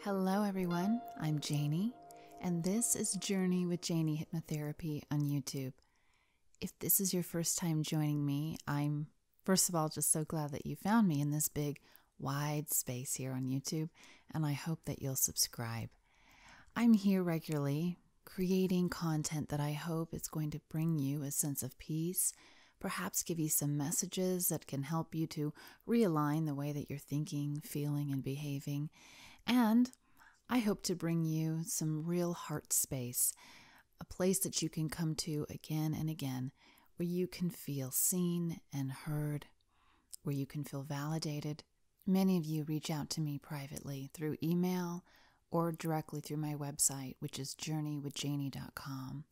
Hello, everyone. I'm Janie, and this is Journey with Janie Hypnotherapy on YouTube. If this is your first time joining me, I'm first of all just so glad that you found me in this big, wide space here on YouTube, and I hope that you'll subscribe. I'm here regularly, creating content that I hope is going to bring you a sense of peace, perhaps give you some messages that can help you to realign the way that you're thinking, feeling, and behaving. And I hope to bring you some real heart space, a place that you can come to again and again where you can feel seen and heard, where you can feel validated many of you reach out to me privately through email or directly through my website, which is journeywithjanie.com.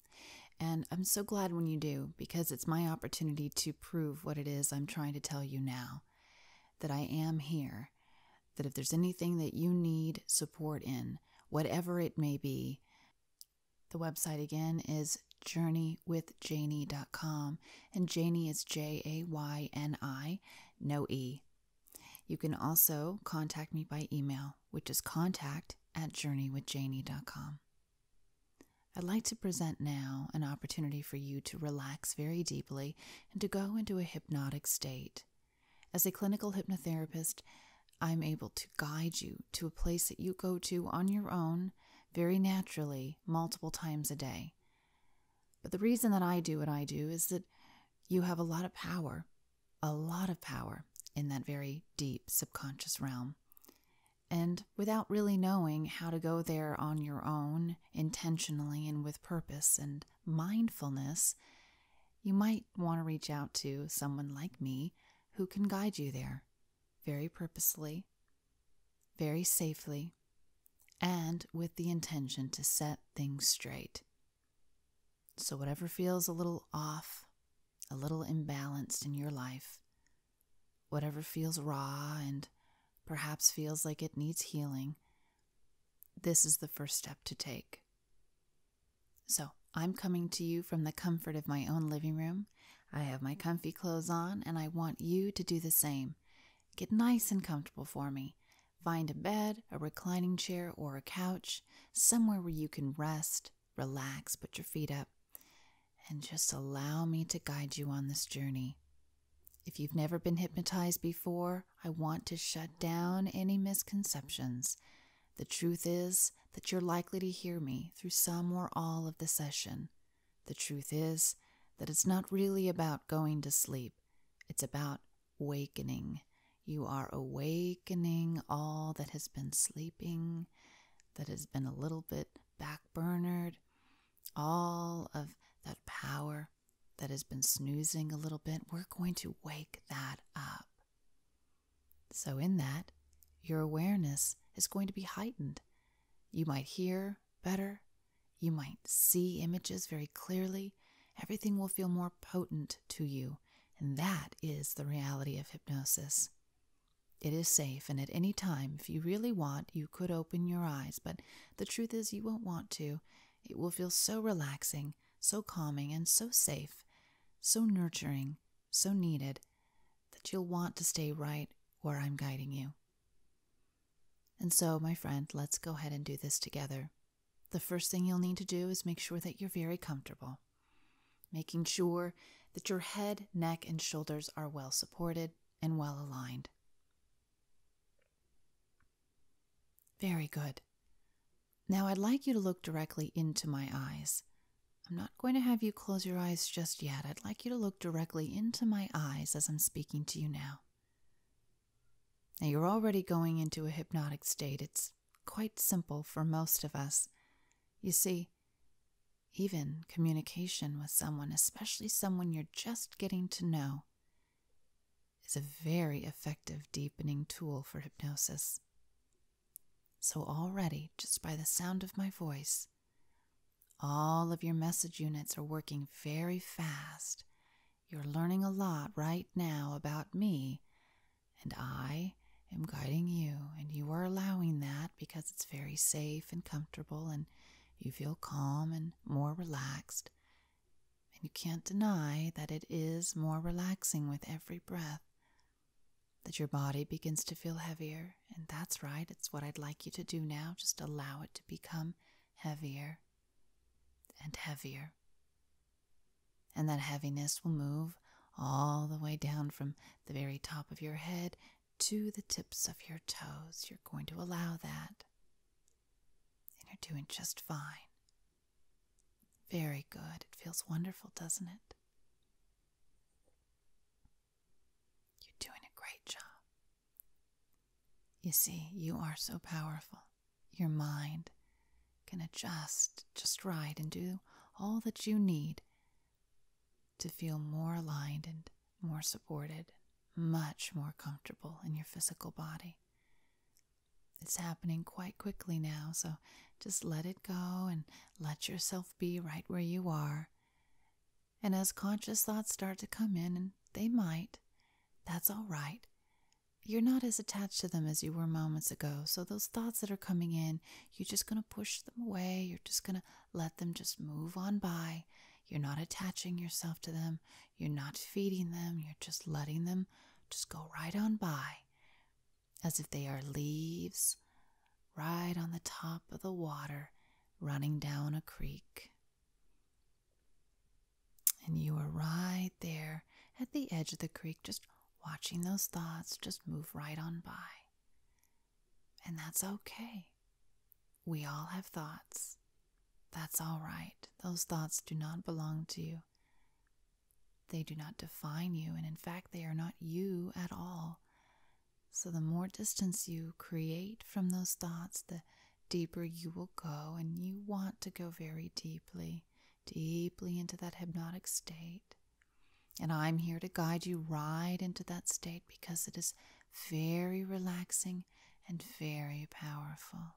And I'm so glad when you do because it's my opportunity to prove what it is I'm trying to tell you now that I am here, that if there's anything that you need support in, whatever it may be, the website again is journeywithjanie.com, and Janie is J A Y N I, no E. You can also contact me by email, which is contact at journeywithjanie.com. I'd like to present now an opportunity for you to relax very deeply and to go into a hypnotic state. As a clinical hypnotherapist, I'm able to guide you to a place that you go to on your own very naturally multiple times a day. But the reason that I do what I do is that you have a lot of power, a lot of power in that very deep subconscious realm. And without really knowing how to go there on your own, intentionally and with purpose and mindfulness, you might want to reach out to someone like me who can guide you there very purposely, very safely, and with the intention to set things straight. So, whatever feels a little off, a little imbalanced in your life, whatever feels raw and perhaps feels like it needs healing, this is the first step to take. So, I'm coming to you from the comfort of my own living room I have my comfy clothes on, and I want you to do the same. Get nice and comfortable for me. Find a bed, a reclining chair, or a couch, somewhere where you can rest, relax, put your feet up, and just allow me to guide you on this journey. If you've never been hypnotized before, I want to shut down any misconceptions. The truth is, that you're likely to hear me through some or all of the session. The truth is that it's not really about going to sleep, it's about wakening. You are awakening all that has been sleeping, that has been a little bit backburnered, all of that power that has been snoozing a little bit. We're going to wake that up. So, in that, your awareness is going to be heightened. You might hear better, you might see images very clearly, everything will feel more potent to you. And that is the reality of hypnosis. It is safe, and at any time, if you really want, you could open your eyes, but the truth is, you won't want to. It will feel so relaxing, so calming, and so safe, so nurturing, so needed, that you'll want to stay right where I'm guiding you. And so, my friend, let's go ahead and do this together. The first thing you'll need to do is make sure that you're very comfortable, making sure that your head, neck, and shoulders are well supported and well aligned. Very good. Now I'd like you to look directly into my eyes. I'm not going to have you close your eyes just yet. I'd like you to look directly into my eyes as I'm speaking to you now. Now, you're already going into a hypnotic state. It's quite simple for most of us. You see, even communication with someone, especially someone you're just getting to know, is a very effective deepening tool for hypnosis. So, already, just by the sound of my voice, all of your message units are working very fast. You're learning a lot right now about me, and I am guiding you, and you are allowing that because it's very safe and comfortable, and you feel calm and more relaxed. And you can't deny that it is more relaxing with every breath that your body begins to feel heavier. And that's right, it's what I'd like you to do now. Just allow it to become heavier and heavier. And that heaviness will move all the way down from the very top of your head to the tips of your toes. You're going to allow that. And you're doing just fine. Very good. It feels wonderful, doesn't it? You're doing a great job. You see, you are so powerful. Your mind can adjust just right and do all that you need to feel more aligned and more supported, much more comfortable in your physical body. It's happening quite quickly now, so just let it go and let yourself be right where you are. And as conscious thoughts start to come in, and they might, that's all right. You're not as attached to them as you were moments ago. So, those thoughts that are coming in, you're just going to push them away. You're just going to let them just move on by. You're not attaching yourself to them. You're not feeding them. You're just letting them just go right on by as if they are leaves right on the top of the water running down a creek. And you are right there at the edge of the creek, just watching those thoughts just move right on by. And that's okay. We all have thoughts. That's all right. Those thoughts do not belong to you. They do not define you, and in fact, they are not you at all. So, the more distance you create from those thoughts, the deeper you will go, and you want to go very deeply, deeply into that hypnotic state. And I'm here to guide you right into that state because it is very relaxing and very powerful.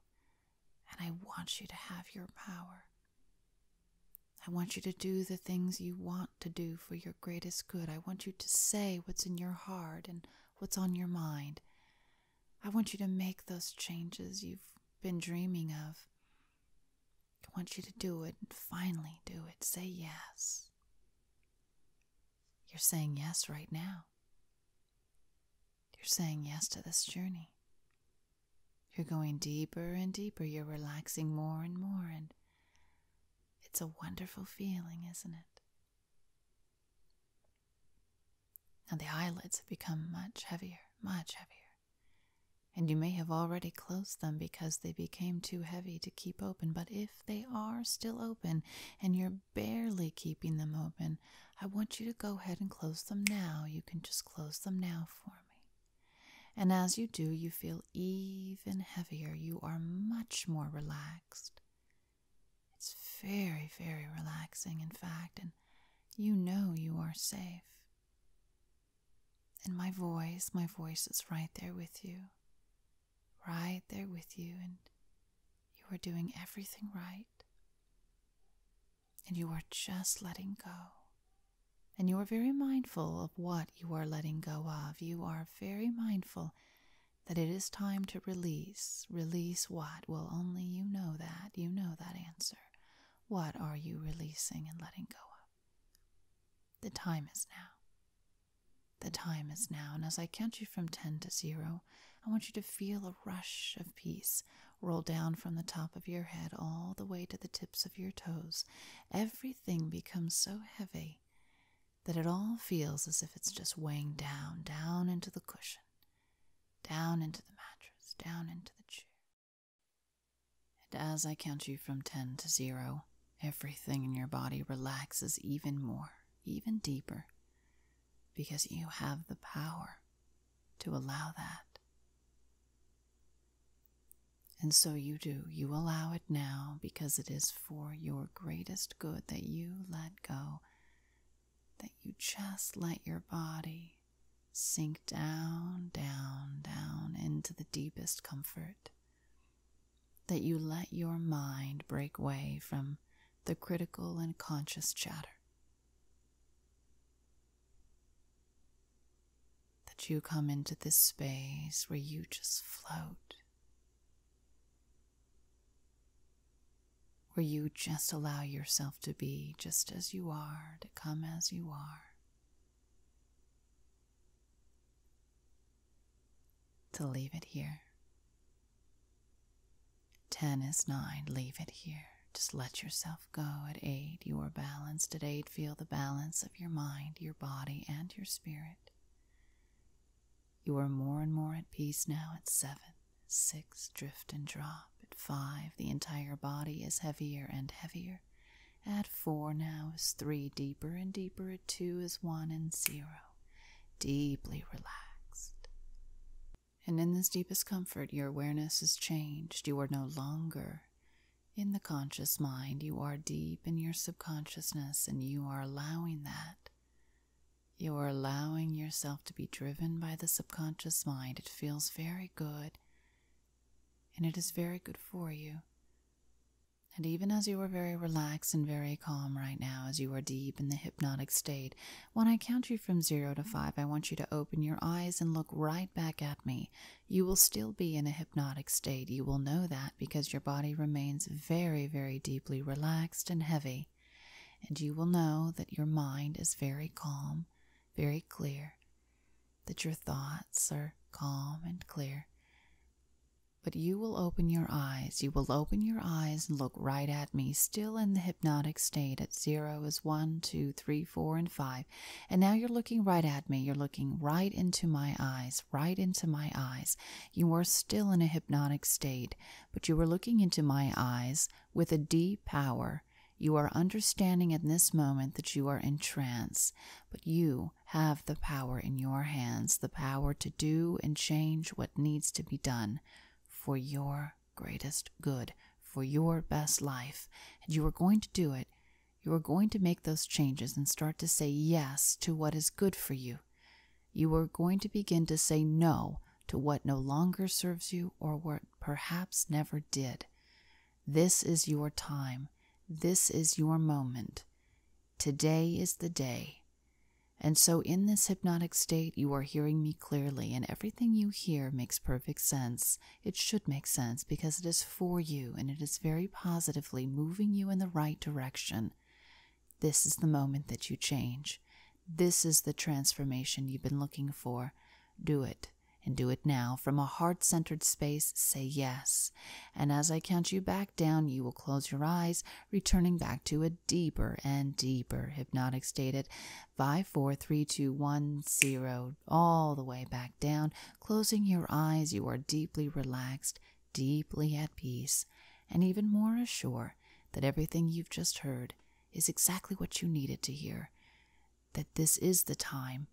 And I want you to have your power. I want you to do the things you want to do for your greatest good. I want you to say what's in your heart and what's on your mind. I want you to make those changes you've been dreaming of. I want you to do it and finally do it. Say yes. You're saying yes right now. You're saying yes to this journey. You're going deeper and deeper. You're relaxing more and more. And it's a wonderful feeling, isn't it? Now the eyelids have become much heavier, much heavier. And you may have already closed them because they became too heavy to keep open. But if they are still open and you're barely keeping them open, I want you to go ahead and close them now. You can just close them now for me. And as you do, you feel even heavier. You are much more relaxed. It's very, very relaxing, in fact, and you know you are safe. And my voice, my voice is right there with you, right there with you, and you are doing everything right and you are just letting go. And you are very mindful of what you are letting go of. You are very mindful that it is time to release. Release what? Well, only you know that. You know that answer. What are you releasing and letting go of? The time is now. The time is now. And as I count you from 10 to 0, I want you to feel a rush of peace, roll down from the top of your head all the way to the tips of your toes, everything becomes so heavy that it all feels as if it's just weighing down, down into the cushion, down into the mattress, down into the chair. And as I count you from 10 to 0, everything in your body relaxes even more, even deeper, because you have the power to allow that. And so you do. You allow it now because it is for your greatest good that you let go, that you just let your body sink down, down, down into the deepest comfort, that you let your mind break way from the critical and conscious chatter. That you come into this space where you just float, where you just allow yourself to be just as you are, to come as you are. To leave it here. Ten is nine. Leave it here. Just let yourself go. At eight, you are balanced. At eight, feel the balance of your mind, your body, and your spirit. You are more and more at peace now at seven. Six, drift and drop. At five, the entire body is heavier and heavier. At four now is three, deeper and deeper. At two is one and zero. Deeply relaxed. And in this deepest comfort, your awareness is changed. You are no longer in the conscious mind, you are deep in your subconsciousness, and you are allowing that. You are allowing yourself to be driven by the subconscious mind. It feels very good, and it is very good for you. And even as you are very relaxed and very calm right now, as you are deep in the hypnotic state, when I count you from zero to five, I want you to open your eyes and look right back at me. You will still be in a hypnotic state. You will know that because your body remains very, very deeply relaxed and heavy. And you will know that your mind is very calm, very clear, that your thoughts are calm and clear. But you will open your eyes. You will open your eyes and look right at me, still in the hypnotic state at zero is one, two, three, four, and five. And now you're looking right at me. You're looking right into my eyes, right into my eyes. You are still in a hypnotic state, but you are looking into my eyes with a deep power. You are understanding in this moment that you are in trance, but you have the power in your hands, the power to do and change what needs to be done for your greatest good, for your best life, and you are going to do it. You are going to make those changes and start to say yes to what is good for you. You are going to begin to say no to what no longer serves you or what perhaps never did. This is your time. This is your moment. Today is the day. And so, in this hypnotic state, you are hearing me clearly, and everything you hear makes perfect sense. It should make sense because it is for you and it is very positively moving you in the right direction. This is the moment that you change. This is the transformation you've been looking for. Do it, and do it now. From a heart centered space, say yes. And as I count you back down, you will close your eyes, returning back to a deeper and deeper hypnotic state at 5, 4, 3, 2, 1, 0, all the way back down. Closing your eyes, you are deeply relaxed, deeply at peace, and even more assured that everything you've just heard is exactly what you needed to hear, that this is the time,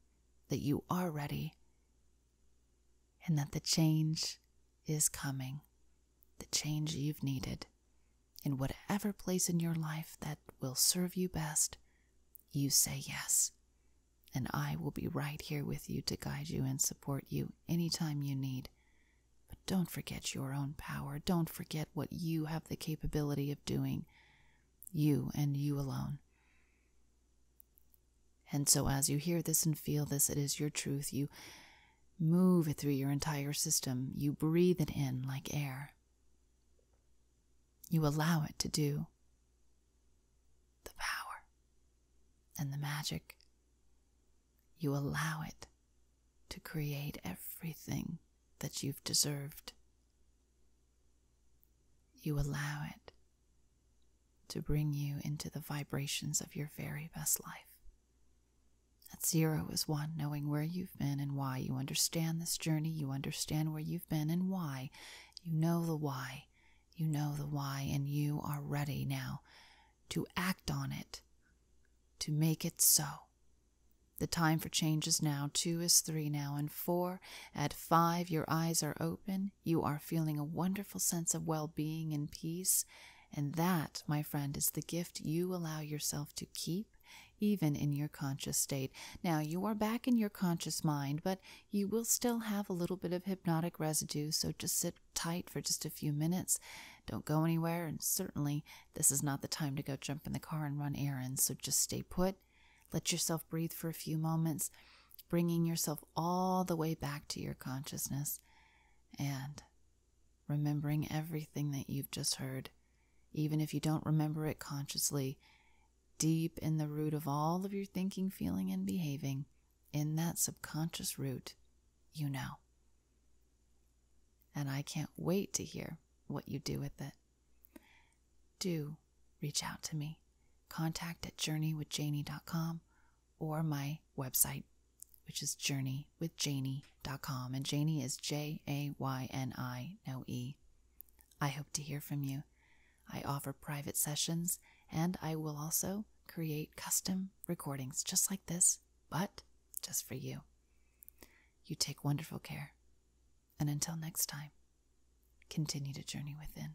that you are ready, and that the change is coming, the change you've needed in whatever place in your life that will serve you best, you say yes. And I will be right here with you to guide you and support you any time you need. But don't forget your own power. Don't forget what you have the capability of doing, you and you alone. And so, as you hear this and feel this, it is your truth. You move it through your entire system. You breathe it in like air. You allow it to do the power and the magic. You allow it to create everything that you've deserved. You allow it to bring you into the vibrations of your very best life. At zero is one, knowing where you've been and why. You understand this journey, you understand where you've been and why. You know the why. You know the why, and you are ready now to act on it, to make it so. The time for change is now. Two is three now, and four. At five, your eyes are open. You are feeling a wonderful sense of well being and peace and that, my friend, is the gift you allow yourself to keep, even in your conscious state. Now, you are back in your conscious mind, but you will still have a little bit of hypnotic residue, so just sit tight for just a few minutes. Don't go anywhere, and certainly this is not the time to go jump in the car and run errands, so just stay put. Let yourself breathe for a few moments, bringing yourself all the way back to your consciousness. And remembering everything that you've just heard, even if you don't remember it consciously, deep in the root of all of your thinking, feeling, and behaving, in that subconscious root, you know. And I can't wait to hear what you do with it. Do reach out to me. Contact at journeywithjaney.com or my website, which is journeywithjanie.com. And Janie is J A Y N I, no E. I hope to hear from you. I offer private sessions and I will also create custom recordings just like this, but just for you. You take wonderful care. And until next time, continue to journey within.